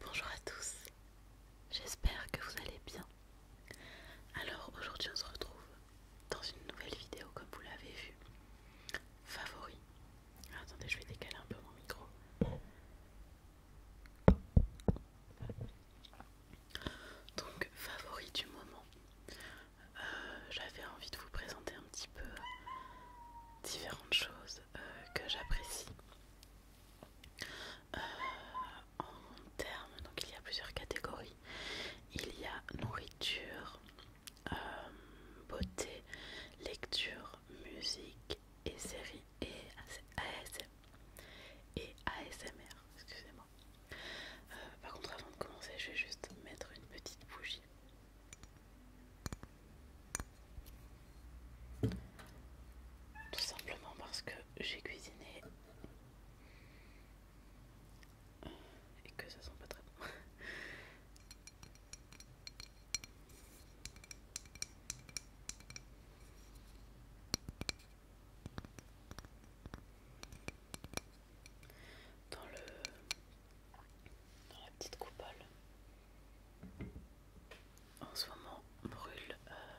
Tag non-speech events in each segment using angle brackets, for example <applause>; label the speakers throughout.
Speaker 1: Bonjour à tous, j'espère que vous allez bien. Alors aujourd'hui on se retrouve dans une nouvelle vidéo comme vous l'avez vu. Favoris. attendez, je vais décaler un peu mon micro. Donc favori du moment. Euh, j'avais envie de vous présenter un petit peu différentes choses euh, que j'apprécie euh, en termes, donc il y a plusieurs catégories. Il y a nourriture, euh, beauté, lecture, musique et séries et Et ASMR, excusez-moi. Euh, par contre, avant de commencer, je vais juste mettre une petite bougie. Tout simplement parce que j'ai cuisiné et que ça sent pas très bon. Dans le dans la petite coupole, en ce moment on brûle euh,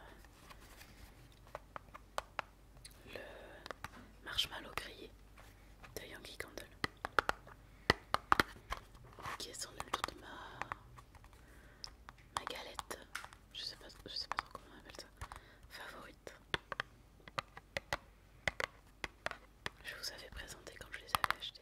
Speaker 1: le marshmallow grillé de Yankee Candle qui est sans doute ma, galette je sais, pas, je sais pas trop comment on appelle ça favorite je vous avais présenté quand je les avais achetés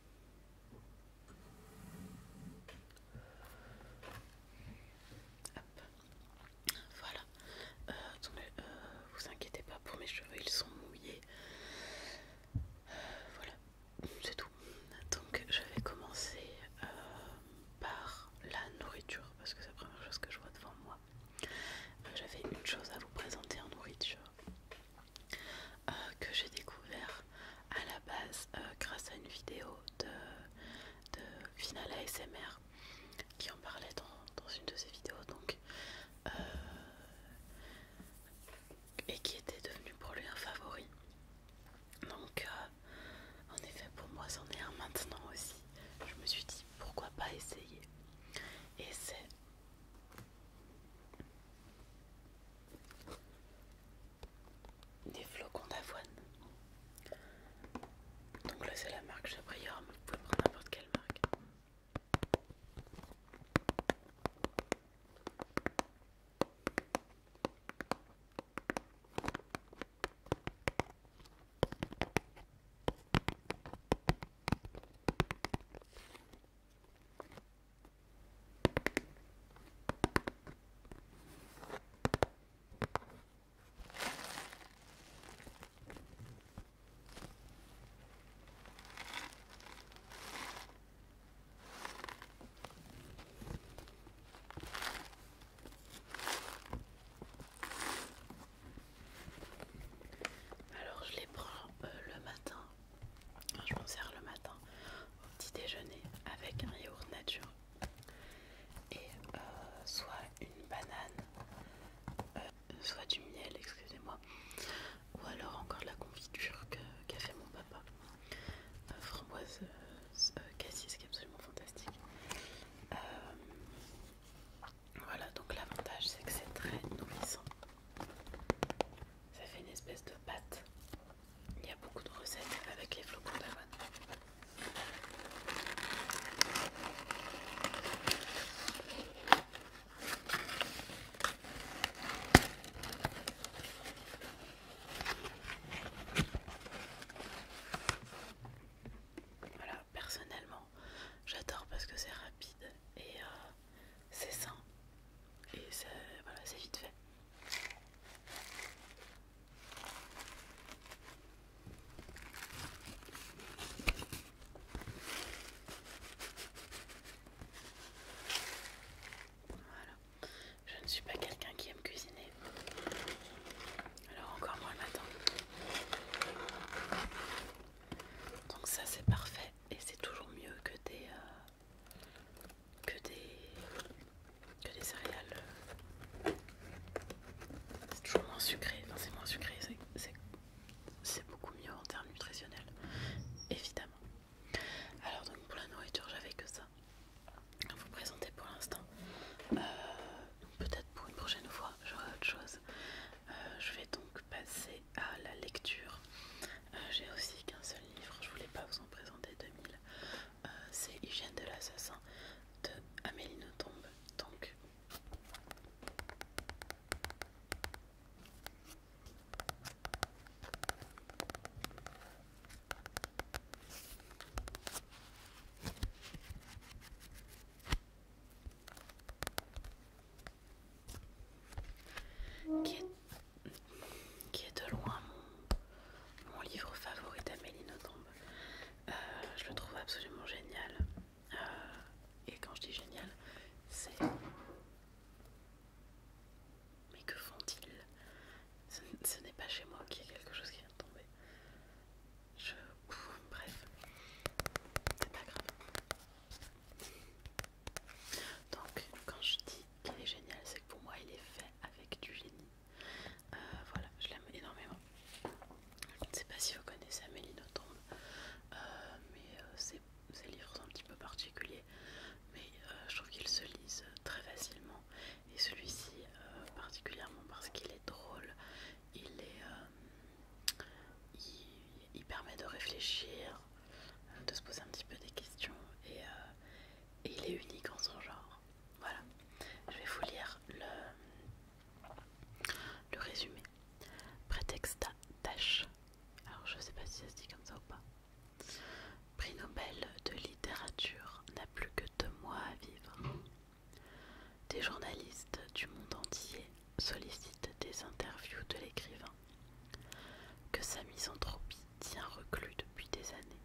Speaker 1: Voilà. Euh, euh, vous inquiétez pas pour mes cheveux, ils sont mouillés. Euh, voilà, c'est tout. Donc je vais commencer par la nourriture parce que c'est la première chose que je vois devant moi. J'avais une chose à vous présenter en nourriture. Euh, que j'ai découvert à la base euh, grâce à une vidéo de, de Final ASMR qui en parlait dans, une de ses vidéos donc euh, et qui était devenu pour lui un favori donc en effet pour moi c'en est un maintenant aussi je me suis dit pourquoi pas essayer et c'est des flocons d'avoine. Donc là c'est la marque Chabrior, mais vous pouvez prendre n'importe quelle marque. Alors je les prends euh, le matin je m'en sers le matin au petit déjeuner avec un yaourt nature et euh, soit une banane, euh, soit du miel, excusez-moi, ou alors encore de la confiture qu'a fait mon papa. Euh, framboise cassis qui est absolument fantastique. voilà, donc l'avantage c'est que c'est très nourrissant. Ça fait une espèce de pâte il y a beaucoup de recettes avec les flocons d'avoine. Voilà, personnellement, j'adore parce que c'est rapide et euh, c'est sain et voilà, c'est vite fait. Voilà. Je ne suis pas quelqu'un qui aime cuisiner. Alors encore moins le matin. Donc ça c'est parfait et c'est toujours mieux que des, euh, que des, céréales. Euh, c'est toujours moins sucré, c'est moins sucré, c'est beaucoup mieux en termes nutritionnels, évidemment. Alors donc pour la nourriture j'avais que ça à vous présenter pour l'instant. Euh, peut-être pour une prochaine fois j'aurai autre chose. Euh, je vais donc passer à la lecture. J'ai aussi qu'un seul livre, je voulais pas vous en présenter 2000. Euh, c'est Hygiène de l'assassin de Amélie Nothomb. Donc, qui est de loin mon, livre favori d'Amélie Nothomb. Euh, je le trouve absolument génial. Euh, et quand je dis génial, c'est... Mais que font-ils Ce, n'est pas chez moi qu'il y a quelque chose qui vient de tomber. Je... bref. C'est pas grave. Donc, quand je dis qui est génial, c'est que pour moi il est fait avec du génie. Euh, voilà, je l'aime énormément. Je ne sais pas si vous connaissez Amélie Nothomb, euh, mais c'est euh, ses, livres sont un petit peu particuliers, mais je trouve qu'ils se lisent très facilement. Et celui-ci particulièrement parce qu'il est drôle, il, est, il, permet de réfléchir, de se poser un petit peu des questions et, il est unique en son genre. Voilà, je vais vous lire le, le résumé. Prétexta tâche. alors je sais pas si ça se dit comme ça ou pas. Prix Nobel de littérature n'a plus que deux mois à vivre. Des journalistes du monde entier sollicitent des interviews de l'écrivain. Que sa misanthropie tient reclus depuis des années.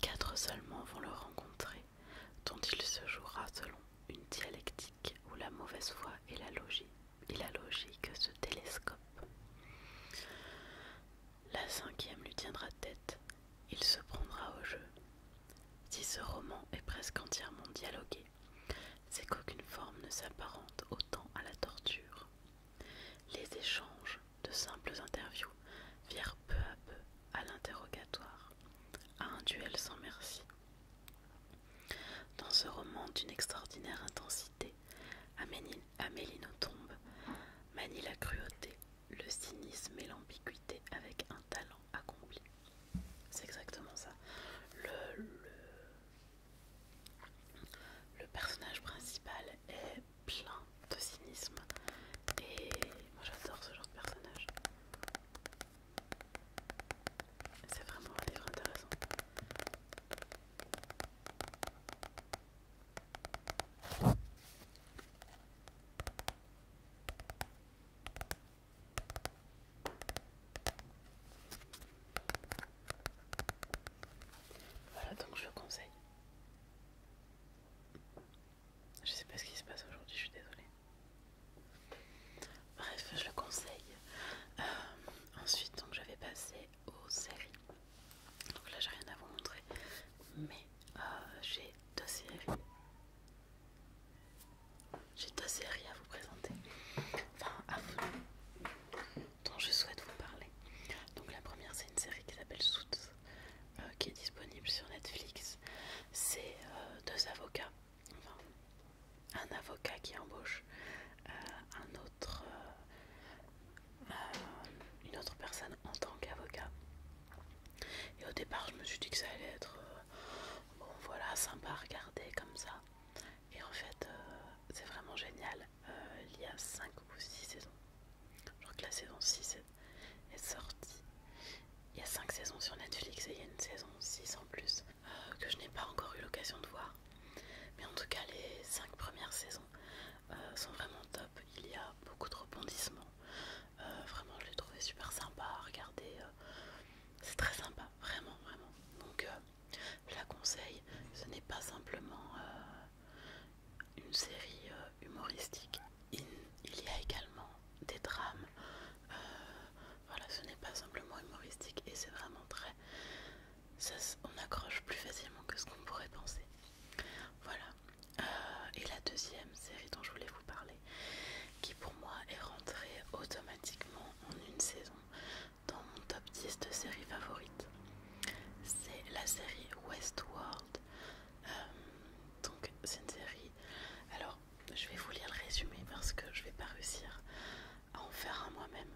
Speaker 1: Quatre seulement vont le rencontrer, dont il se jouera selon une dialectique où la mauvaise foi est la logique, et la logique ce télescopent. La cinquième lui tiendra tête, il se prendra au jeu. Si ce roman est presque entièrement dialogué, c'est qu'aucune forme ne s'apparente autant à la torture. Les échanges, de simples interviews virent peu à peu à l'interrogatoire, à un duel sans merci. Dans ce roman d'une extraordinaire intensité, Amélie, tombe, manie la cruauté, le cynisme et l'ambiguïté avec un talent accompli. C'est exactement ça. le, le personnage principal est plein de cynisme et moi j'adore ce genre de personnage. C'est vraiment un livre intéressant. Voilà donc je vous conseille. Je sais pas ce qui se passe aujourd'hui, je suis désolée. Bref, je le conseille. Euh, ensuite, donc, je vais passer aux séries. Donc là, j'ai rien à vous montrer, mais euh, j'ai deux séries. J'ai deux séries à vous présenter. Enfin, à vous dont je souhaite vous parler. Donc la première c'est une série qui s'appelle Sout, euh, qui est disponible sur Netflix. C'est euh, deux avocats, enfin un avocat qui embauche euh, un autre, une autre personne en tant qu'avocat. Et au départ je me suis dit que ça allait être voilà sympa à regarder comme ça. Et en fait c'est vraiment génial. Euh, il y a 5 ou 6 saisons. Je crois que la saison 6 est, sortie. Il y a 5 saisons sur Netflix et il y a une saison 6 en plus euh, que je n'ai pas encore eu l'occasion de voir. Mais en tout cas, les 5 premières saisons euh, sont vraiment top. Il y a beaucoup de rebondissements. vraiment, je l'ai trouvé super sympa à regarder. C'est très sympa, vraiment, vraiment. Donc, je la conseille. Ce n'est pas simplement une série euh, humoristique. Il, y a également des drames. Euh, voilà, ce n'est pas simplement humoristique et c'est vraiment très... on accroche plus facilement que ce qu'on pourrait penser. Voilà. Euh, et la deuxième série dont je voulais vous parler, qui pour moi est rentrée automatiquement en une saison dans mon top 10 de séries favorites c'est la série Westworld. Euh, donc c'est une série... Alors je vais vous lire le résumé parce que je vais pas réussir à en faire un moi-même.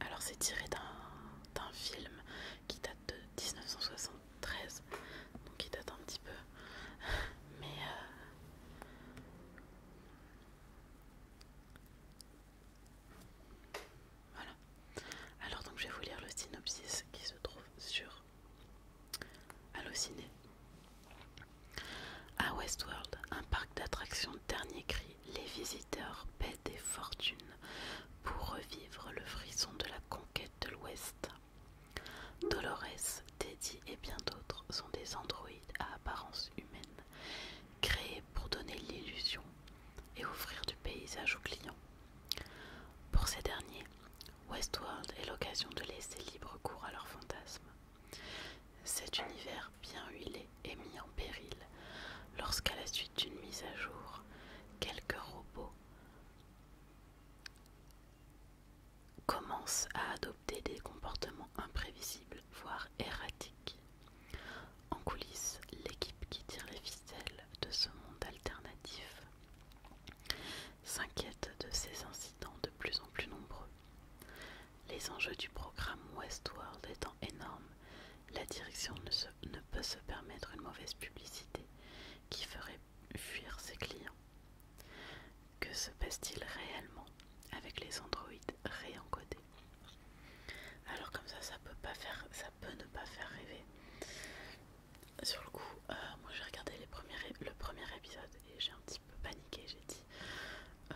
Speaker 1: Alors c'est tiré d'un film qui date de 1973, donc il date un petit peu. Mais euh, voilà. Alors donc je vais vous lire le synopsis qui se trouve sur Allociné. À Westworld, un parc d'attractions dernier cri, les visiteurs paient des fortunes pour revivre le frisson de la conquête de l'Ouest. Dolores, Teddy et bien d'autres sont des androïdes à apparence humaine créé pour donner l'illusion et offrir du paysage aux clients. Pour ces derniers, Westworld est l'occasion de laisser libre cours à leurs fantasmes. Cet univers bien huilé est mis en péril lorsqu'à la suite d'une mise à jour, quelques robots commencent à adopter des comportements imprévisibles, voire erratiques. En coulisses, l'équipe qui tire les ficelles de ce monde alternatif s'inquiète de ces incidents de plus en plus nombreux. Les enjeux du programme Westworld étant énormes, la direction ne, peut se permettre une mauvaise publicité qui ferait fuir ses clients. Que se passe-t-il réellement avec les androïdes réencodés alors comme ça, ça peut pas faire, ça peut ne pas faire rêver. Sur le coup, euh, moi j'ai regardé le premier épisode et j'ai un petit peu paniqué. J'ai dit, euh,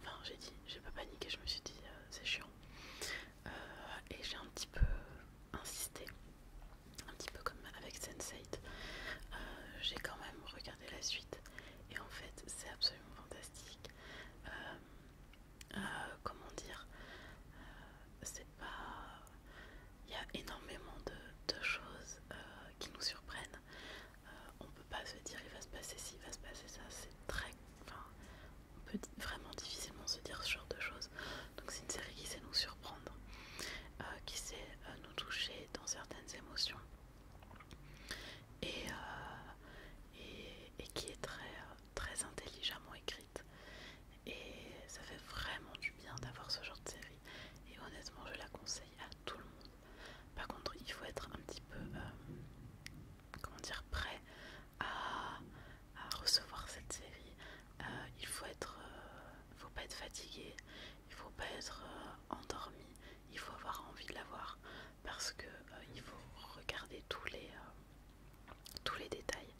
Speaker 1: enfin j'ai dit, j'ai pas paniqué. Je me suis dit, euh, c'est chiant. et j'ai un petit peu insisté, un petit peu comme avec sense j'ai quand même regardé la suite et en fait c'est absolument fantastique. Euh, comment dire, euh, c'est pas. Il y a énormément de, choses euh, qui nous surprennent. On on peut pas se dire il va se passer ci, il va se passer ça. C'est très. on peut vraiment difficilement se dire ce genre de choses. Donc, c'est une série qui sait nous surprendre, qui sait nous toucher dans certaines émotions. Euh, et, qui est très, très intelligemment écrite. Et ça fait vraiment du bien d'avoir ce genre de série. Et honnêtement, je la conseille à tout le monde. Par contre, il faut être un petit peu, euh, comment dire, prêt à, recevoir cette série. Euh, il faut être, faut pas être fatigué, il faut pas être endormi, il faut avoir envie de la voir parce que euh, il faut regarder tous les euh, tous les détails.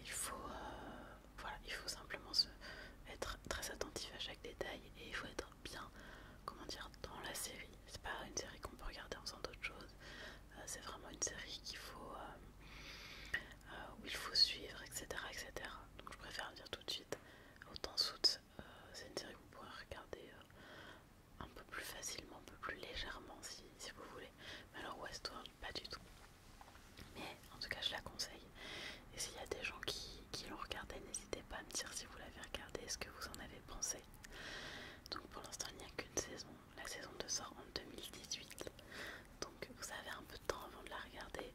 Speaker 1: Il faut euh, voilà, il faut simplement être très attentif à chaque détail et il faut être bien comment dire dans la série. C'est pas une série qu'on peut regarder en faisant d'autres choses. C'est vraiment une série qu'il faut où il faut suivre, etc., etc. Donc je préfère dire tout de suite autant temps C'est une série qu'on vous regarder un peu plus facilement, un peu plus légèrement si, vous voulez. Mais alors Westworld, pas du tout. Mais en tout cas, je la conseille. Et s'il y a des gens qui, l'ont regardé, n'hésitez pas à me dire si vous l'avez regardé, ce que vous en avez pensé. Donc pour l'instant, il n'y a qu'une saison. La saison 2 sort en 2018. Donc vous avez un peu de temps avant de la regarder.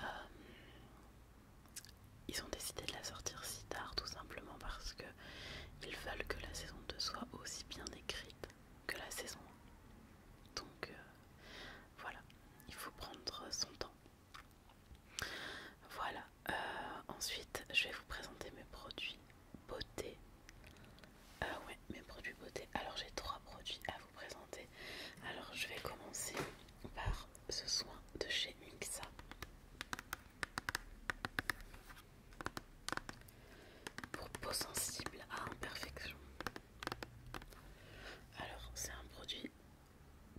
Speaker 1: Euh, ils ont décidé de la sortir si tard tout simplement parce que ils veulent que la saison 2 soit aussi bien écrite que la saison 1. Donc euh, voilà, il faut prendre son temps. Voilà, euh, ensuite je vais vous présenter mes produits beauté. Euh, ouais, mes produits beauté. Alors j'ai trois produits à vous présenter. Alors je vais commencer par ce soin de chez Mixa. Pour peau sensible à imperfection. Alors, c'est un produit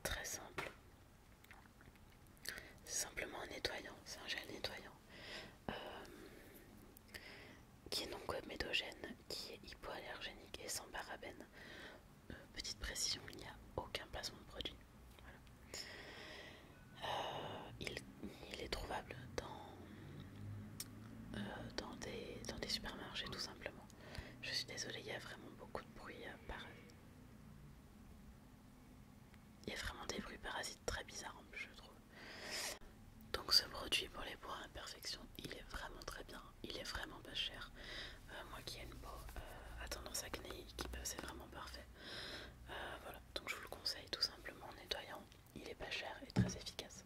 Speaker 1: très simple. C'est simplement un nettoyant, c'est un gel nettoyant euh, qui est non comédogène, qui est hypoallergénique et sans parabène. Euh, petite précision, il n'y a aucun placement de produit euh, il, est trouvable dans, euh, dans, des, dans des supermarchés tout simplement. Je suis désolée, il y a vraiment beaucoup de bruit euh, parasites. Il y a vraiment des bruits parasites très bizarres je trouve. Donc ce produit pour les peaux à imperfection, il est vraiment très bien, il est vraiment pas cher. moi qui ai une peau euh, à tendance peut, c'est vraiment parfait. voilà. Donc je vous le conseille tout simplement en nettoyant. Il est pas cher et très efficace.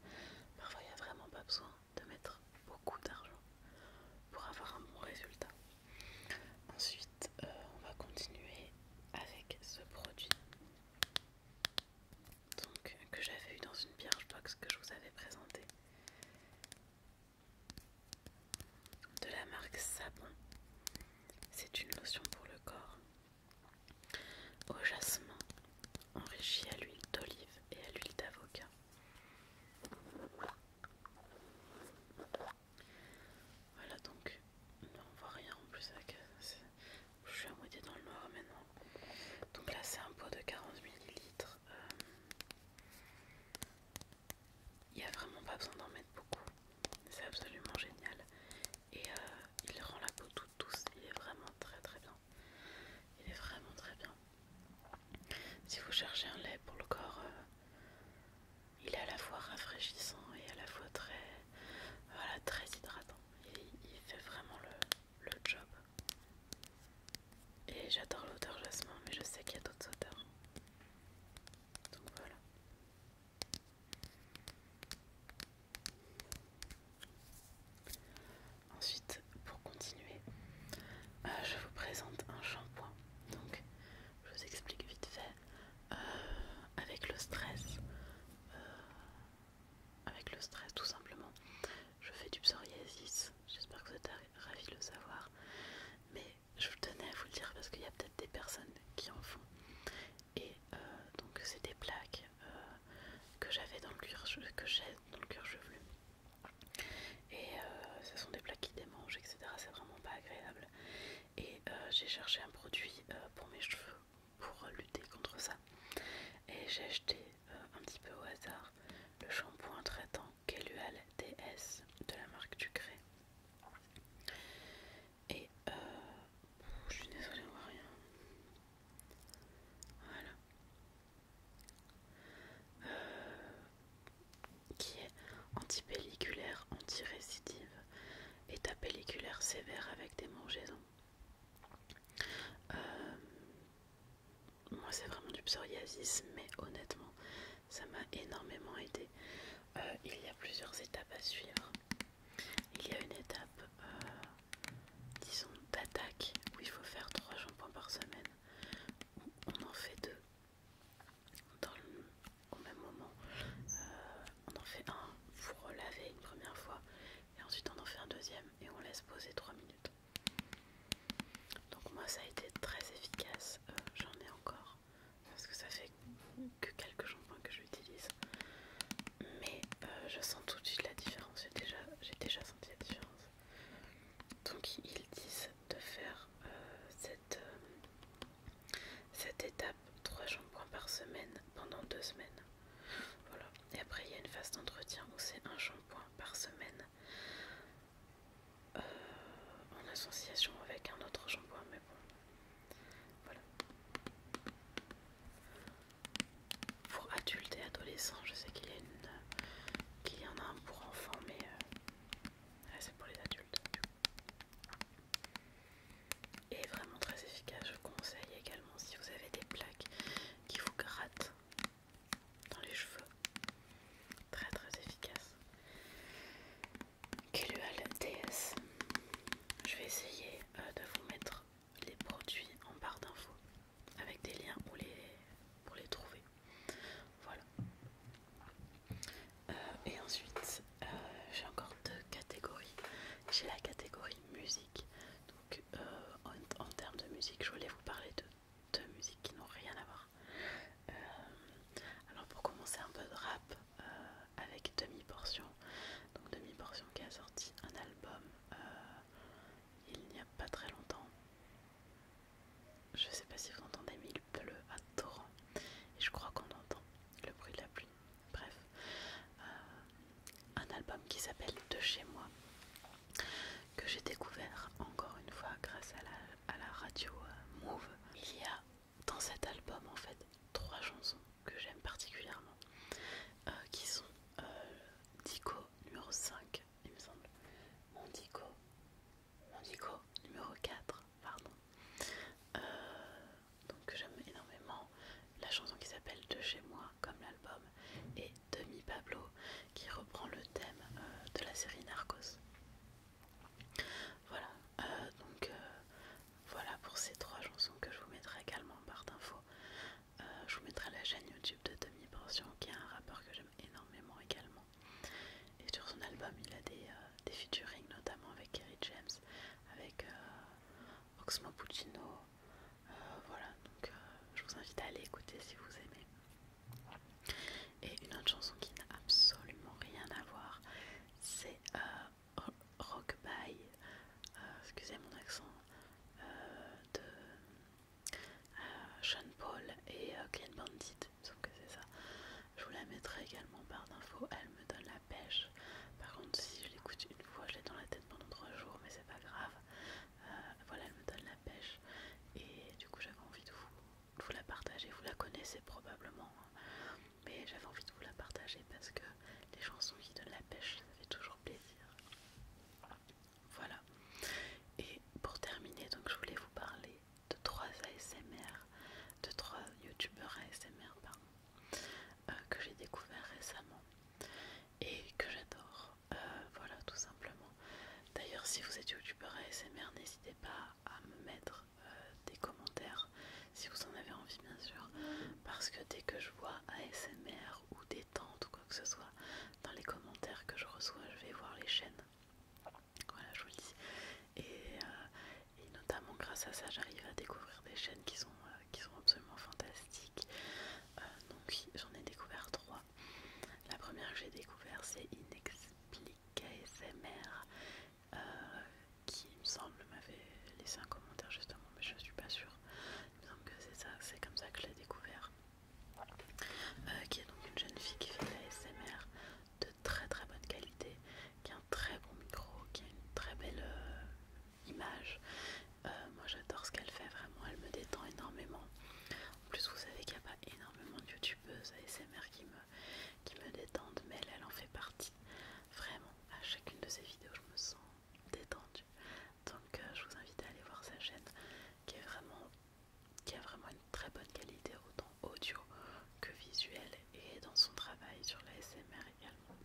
Speaker 1: Parfois il n'y a vraiment pas besoin de mettre beaucoup d'argent pour avoir un bon résultat. Ensuite euh, on va continuer avec ce produit donc, que j'avais eu dans une pierre box que je vous avais présenté de la marque Sabon. C'est une lotion pour le corps au jasmin, enrichi à l'huile d'olive et à l'huile d'avocat. Voilà donc, on on voit rien en plus avec. Je suis à moitié dans le noir maintenant. Donc là, c'est un pot de 40 ml. Euh. Il n'y a vraiment pas besoin d'en mettre beaucoup. C'est absolument génial. Et euh, il rend la peau toute douce. Il est vraiment très très bien. Il est vraiment très bien. Si vous cherchez un lait pour le corps, euh, il est à la fois rafraîchissant et à la fois très, voilà, très hydratant. Il, fait vraiment le, le job. Et j'adore l'odeur jasmin, mais je sais qu'il y a d'autres odeurs. Donc voilà. Ensuite, pour continuer, euh, je vous présente un shampoing. Donc, je vous explique vite fait. Euh, avec le stress, euh, avec le stress tout simplement, je fais du psoriasis. J'espère que vous êtes ravis de le savoir je tenais à vous le dire parce qu'il y a peut-être des personnes qui en font. Et euh, donc c'est des plaques euh, que j'avais dans le cuir, que j'ai dans le cuir chevelu. Et euh, ce sont des plaques qui démangent, etc. C'est vraiment pas agréable. Et j'ai cherché un produit pour mes cheveux pour lutter contre ça. Et j'ai acheté un petit peu au hasard le shampoing traitant Kelual DS de la marque Ducré. Et euh, je suis désolée, on voit rien. Voilà. Euh, qui est antipelliculaire, antirécidive, état pelliculaire sévère avec des euh, moi, c'est vraiment du psoriasis, mais honnêtement, ça m'a énormément aidé. il y a plusieurs étapes à suivre. Il y a une étape, euh, disons, d'attaque où il faut faire 3 shampoings par semaine, on en fait deux au même moment. Euh, on en fait un pour laver une première fois, et ensuite on en fait un deuxième et on laisse poser 3 minutes. Donc moi ça a été très efficace, euh, j'en ai encore parce que ça fait que quelques shampoings que j'utilise mais euh, je sens tout de suite la différence j'ai déjà, senti la différence donc ils disent de faire euh, cette, euh, cette étape 3 shampoings par semaine pendant 2 semaines voilà et après il y a une phase d'entretien où c'est un shampoing par semaine en association avec un autre shampoing mais bon voilà. Pour adultes et adolescents, je sais qu'il y, en a un pour enfants, mais euh, c'est pour les adultes. Et vraiment très efficace, je vous conseille également si vous avez des plaques qui vous grattent dans les cheveux. Très très efficace. Quelle Je vais essayer euh, de vous mettre les produits en barre d'infos avec des liens pour les, pour les trouver. Voilà. Euh, et ensuite, euh, j'ai encore deux catégories. J'ai la catégorie musique. Donc, en, termes de musique, je voulais vous parler de deux musiques qui n'ont rien à voir. alors, pour commencer, un peu de rap. Euh, avec Demi Portion. Donc Demi Portion qui a sorti un album euh, il n'y a pas très longtemps. Je sais pas si vous entendez, mais il pleut à torrent. Et je crois qu'on entend le bruit de la pluie. Bref, euh, un album qui s'appelle De chez moi, que j'ai découvert encore une fois grâce à la, radio Move il y a dans cet album en fait trois chansons que j'aime particulièrement euh, qui sont euh, Dico numéro 5 il me semble Mondico Dico numéro 4 pardon euh, donc que j'aime énormément la chanson qui s'appelle De chez moi comme l'album et Demi Pablo qui reprend le thème de la série Narcos voilà donc voilà pour ces trois chansons que je vous mettrai également en barre d'infos. je vous mettrai la chaîne YouTube de Demi Portion, qui est un rappeur que j'aime énormément également. Et sur son album, il a des, euh, featuring, notamment avec Kerry James, avec oxman euh, Oxmo Puccino. Euh, voilà, donc je vous invite à aller écouter si vous aimez. Et une autre chanson qui n'a absolument rien à voir, c'est Rock by, euh, excusez mon accent, euh, de euh, Sean Paul et Clean Bandit, sauf que c'est ça. Je vous la mettrai également par d'infos, elle me donne la pêche. Par contre, si je l'écoute une fois, je l'ai dans la tête pendant trois jours, mais c'est pas grave. voilà, elle me donne la pêche et du coup, j'avais envie de vous, la partager. Vous la connaissez probablement. Hein mais j'avais envie de vous la partager parce que les chansons qui donnent la pêche, ça fait toujours plaisir. Voilà. Et pour terminer, donc je voulais vous parler de trois ASMR, de trois youtubeurs ASMR pardon, euh, que j'ai découvert récemment et que j'adore. Euh, voilà, tout simplement. D'ailleurs, si vous êtes youtubeur ASMR, n'hésitez pas à me mettre euh, des commentaires si vous en avez envie bien sûr parce que dès que je vois ASMR ou détente ou quoi que ce soit dans les commentaires que je reçois je vais voir les chaînes voilà je vous le dis et, euh, notamment grâce à ça j'arrive à découvrir des chaînes qui sont, euh, qui sont absolument fantastiques donc j'en ai découvert trois la première que j'ai découvert c'est Inexplicable ASMR euh, qui me semble m'avait laissé un commentaire justement, mais je suis pas sûre. Il me semble que c'est ça, c'est comme ça que je l'ai découvert. Euh, qui est donc une jeune fille qui fait de la SMR de très très bonne qualité, qui a un très bon micro, qui a une très belle euh, image. moi j'adore ce qu'elle fait vraiment, elle me détend énormément. En plus vous savez qu'il n'y a pas énormément de youtubeuses ASMR qui me, qui me détendent, mais elle en fait partie. Vraiment à chacune de ses vidéos, je me sens détendue. Donc euh, je vous invite à aller voir sa chaîne qui est vraiment qui a vraiment une très bonne qualité autant audio que visuelle et dans son travail sur la SMR également.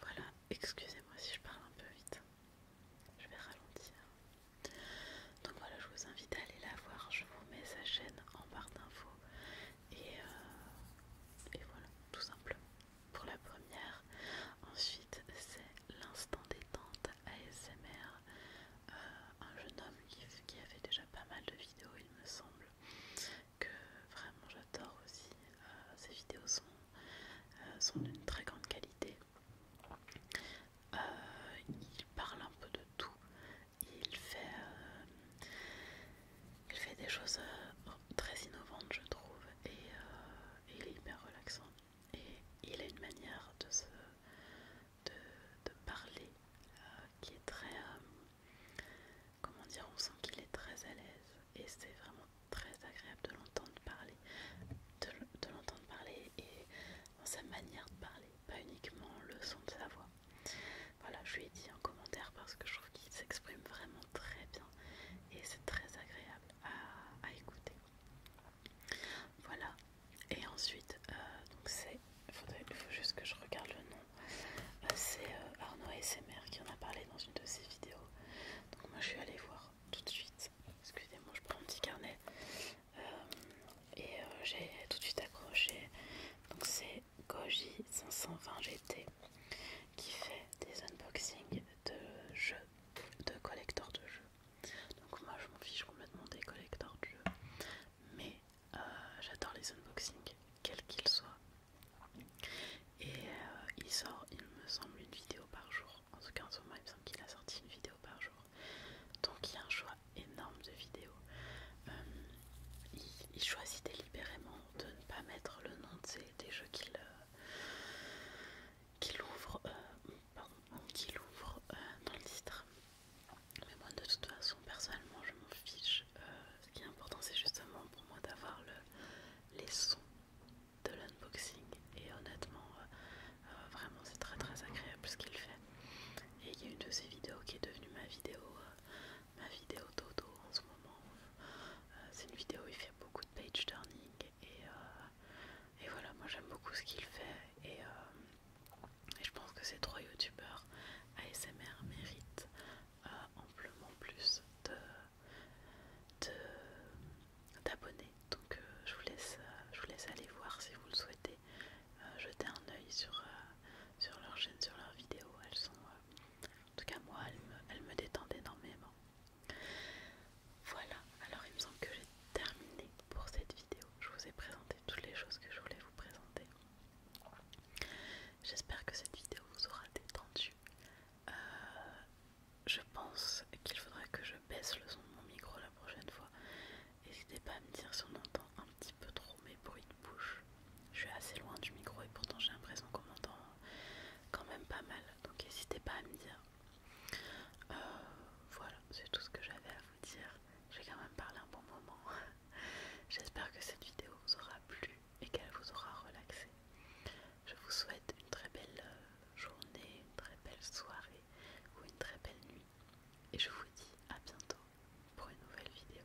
Speaker 1: Voilà, excusez-moi si je parle un peu vite. Je vais ralentir. Donc voilà, je vous invite à aller la voir. Je vous mets sa chaîne en barre d'infos. Euh, et, voilà, tout simplement pour la première. Ensuite, c'est l'instant détente ASMR. Euh, un jeune homme qui, avait a fait déjà pas mal de vidéos, il me semble, que vraiment j'adore aussi. Euh, ses ces vidéos sont, sont d'une très grande qualité. il parle un peu de tout il fait, euh, il fait des choses euh, très innovantes, je trouve, euh, et, il est hyper relaxant. Et il a une manière de, se, de, parler qui est très. comment dire On sent qu'il est très à l'aise et c'est vraiment très agréable de l'entendre parler. De, de l'entendre parler et sa manière de parler, pas uniquement le son de sa voix. Voilà, je lui ai dit en commentaire parce que je trouve qu'il s'exprime vraiment très bien et c'est très agréable à, écouter. Voilà, et ensuite, euh, donc c'est, il faut juste que je regarde le nom, euh, c'est c'est euh, et Arnaud mères qui en a parlé dans une de ses vidéos. Donc moi je suis allée voir tout de suite, excusez-moi, je prends un petit carnet. et j'ai tout de suite accroché. Donc c'est Goji 520 GT qui fait des unboxings de jeux, de collecteurs de jeux. Donc moi je m'en fiche complètement des collecteurs de jeux, mais euh, j'adore les unboxings, quels qu'ils soient. Et euh, il sort, il me semble, une vidéo par jour. En tout cas en ce moment il me semble qu'il a sorti une vidéo par jour. Donc il y a un choix énorme de vidéos. Euh, il choisit délibérément de ne pas mettre le nom de des jeux qu'il euh, ouvre, euh, euh, dans le titre. Mais moi de toute façon personnellement je m'en fiche. ce qui est important c'est justement pour moi d'avoir le, les sons de l'unboxing et honnêtement vraiment c'est très très agréable ce qu'il fait. Et il y a une de ses vidéos qui est devenue ma vidéo ma vidéo Toto en ce moment. Euh, c'est une vidéo il fait beaucoup de page turning et, euh, et voilà, moi j'aime beaucoup ce qu'il fait et, euh, je pense que ces trois youtubeurs ASMR méritent amplement plus de d'abonnés donc je, vous laisse, je vous laisse aller voir si vous le souhaitez jeter un oeil sur, sur leur chaîne sur leurs vidéos elles sont, en tout cas, moi, elle me, détendait énormément. Voilà, alors il me semble que j'ai terminé pour cette vidéo. Je vous ai présenté toutes les choses que je voulais vous présenter. J'espère que cette vidéo vous aura détendu. Euh, je pense qu'il faudrait que je baisse le son de mon micro la prochaine fois. N'hésitez pas à me dire si on entend un petit peu trop mes bruits de bouche. Je suis assez loin du micro et pourtant j'ai l'impression qu'on m'entend quand même pas mal. Donc n'hésitez pas à me dire. Euh, voilà, c'est tout ce que j'avais à vous dire. J'ai quand même parlé un bon moment. <laughs> J'espère que cette vidéo vous aura plu et qu'elle vous aura relaxé. Je vous souhaite une très belle euh, journée, une très belle soirée ou une très belle nuit. Et je vous dis à bientôt pour une nouvelle vidéo.